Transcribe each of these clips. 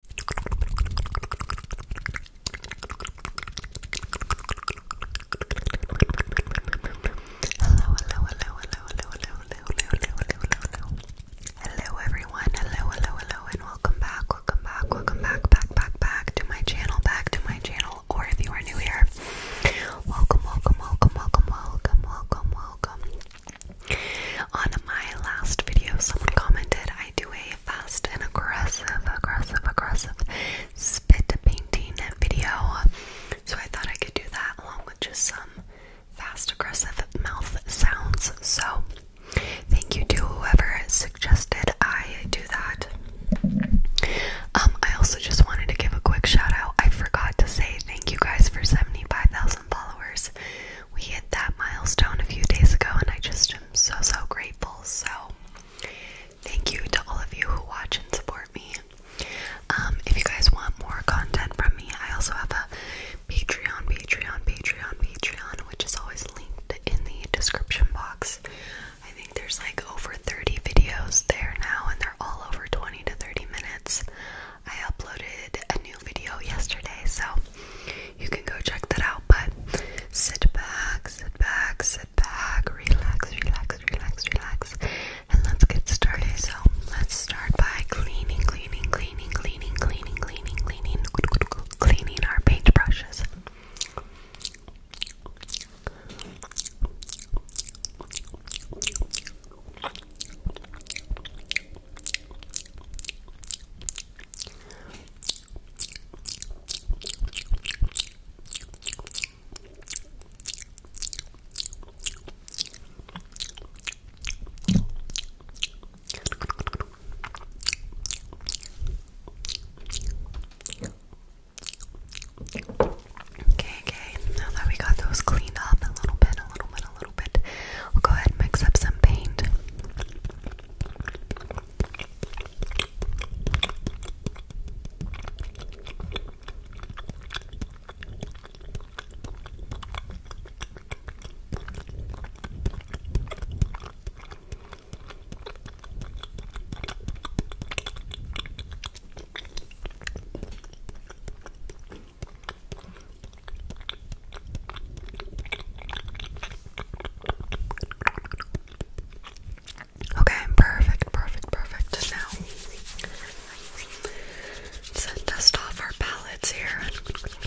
hello, hello, hello, hello, hello, hello, hello, hello, hello. Hello everyone, hello, hello, hello, and welcome back, welcome back, welcome back, back, back, back to my channel, back to my channel, or if you are new here. Welcome, welcome, welcome, welcome, welcome, welcome, welcome. On my last video, someone commented I do a fast and aggressive, aggressive, aggressive spit painting video. So I thought I could do that along with just some fast, aggressive mouth sounds. So thank you to whoever suggested I do that. Um, I also just wanted to give a quick shout out. I forgot to say thank you guys for 75,000 followers we hit that milestone a few days ago, and I just am so, so grateful. So, thank you to all of you who watch and support me. Um, if you guys want more content from me, I also have a Patreon, Patreon, Patreon, Patreon, which is always linked in the description box. I think there's like over 30 videos there now, and they're all over 20 to 30 minutes. I uploaded a new video yesterday, so you can go check that out. But sit back, sit back, sit back, relax, relax, relax, relax, and let's get started. So let's start by cleaning, cleaning, cleaning, cleaning, cleaning, cleaning, cleaning, cleaning our paintbrushes. Okay, okay, now that we got those cleaned up a little bit, a little bit, a little bit. I'll go ahead and mix up some paint. Okay, perfect, perfect, perfect. Now, let's dust off our palettes here. Okay,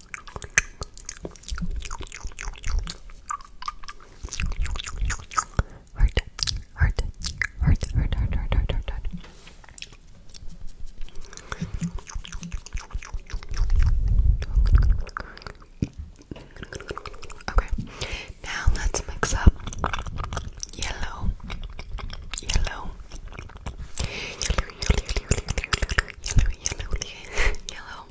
Heart, heart, heart, heart, heart, heart, heart, Okay, now let's mix up yellow, yellow, yellow, yellow, yellow, yellow, yellow, yellow, yellow,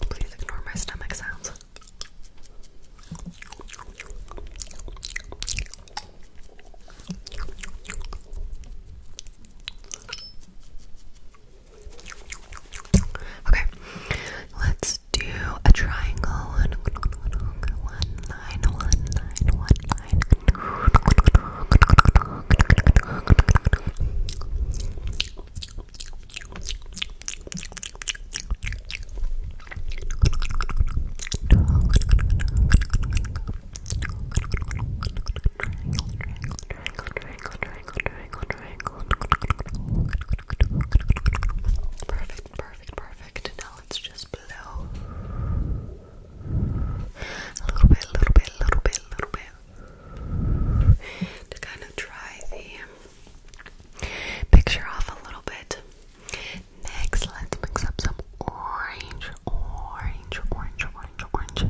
Please ignore my stomach sounds. Okay, let's do a triangle. One, Perfect, perfect, perfect, Perfect. Now let just blow. A little bit, a little bit, a little bit, a little bit. To kind of dry the picture off a little bit. Next, let's mix up some orange, orange, orange, orange, orange.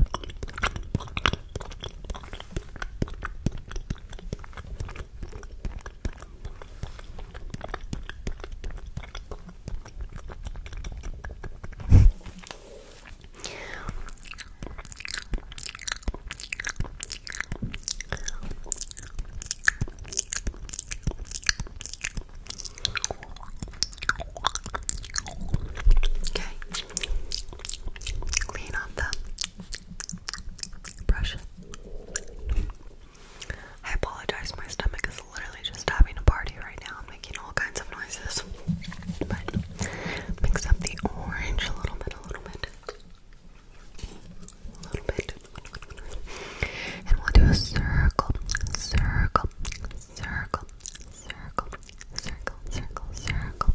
Okay. Clean off the brush. I apologize, my stomach is literally just having a party right now. I'm making all kinds of noises. mix up the orange a little bit, a little bit. A little bit. And we'll do a circle, circle, circle, circle, circle, circle, circle.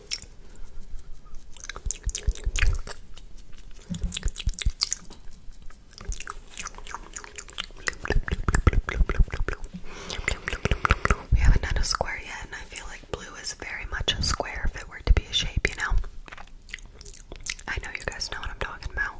We haven't had a square yet, and I feel like blue is very much a square if it were to be a shape, you know? I know you guys know what I'm talking about.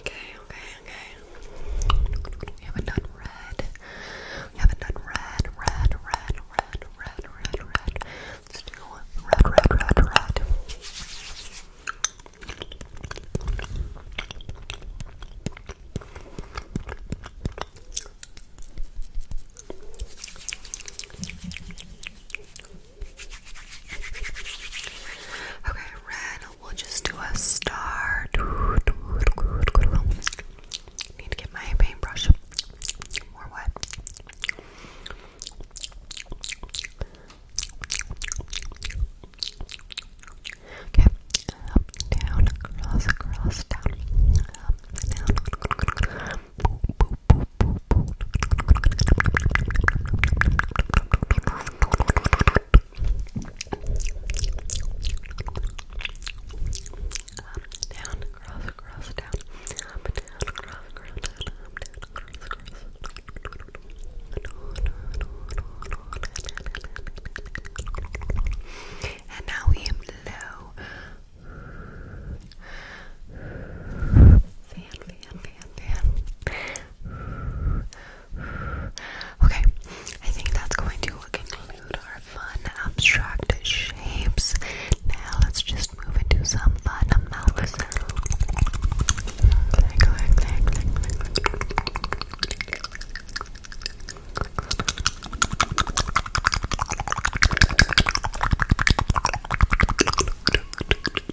Okay, okay, okay. We haven't done red. We haven't done red, red, red, red, red, red, red. let red, red, red, red. Okay, red, we'll just do a star. Need to get my paintbrush. More wet. Okay, up, down, across, across, down, up, down, boop, boop, down, cross, cross, down, up, down, cross, cross, down, up, down, cross, cross. And now we blow. Fan, fan, fan, fan. Okay, I think that's going to conclude our fun abstract shapes. Now let's just move into some fun mouth click, click, click, click, click.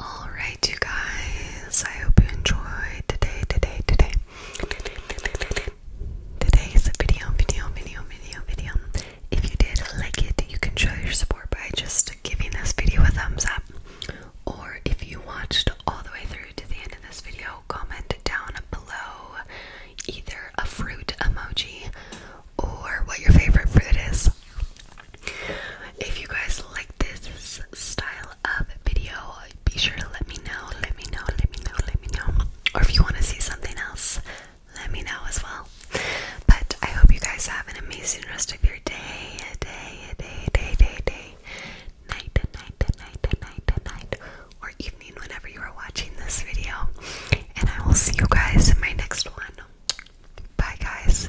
Alright, you guys, I hope you enjoyed today, today, today. Today's video, video, video, video, video. If you did like it, you can show your support by just giving this video a thumbs up. Or if you watched all the way through to the end of this video, comment down below either a fruit emoji or what your favorite fruit is. If you guys like this style of video, be sure to let me know, let me know, let me know, let me know. Or if you want to see something else, let me know as well. But I hope you guys have an amazing rest of your day, day, day, day, day, day, night, night, night, night, night, or evening whenever you are watching this video. And I will see you guys in my next one. Bye, guys.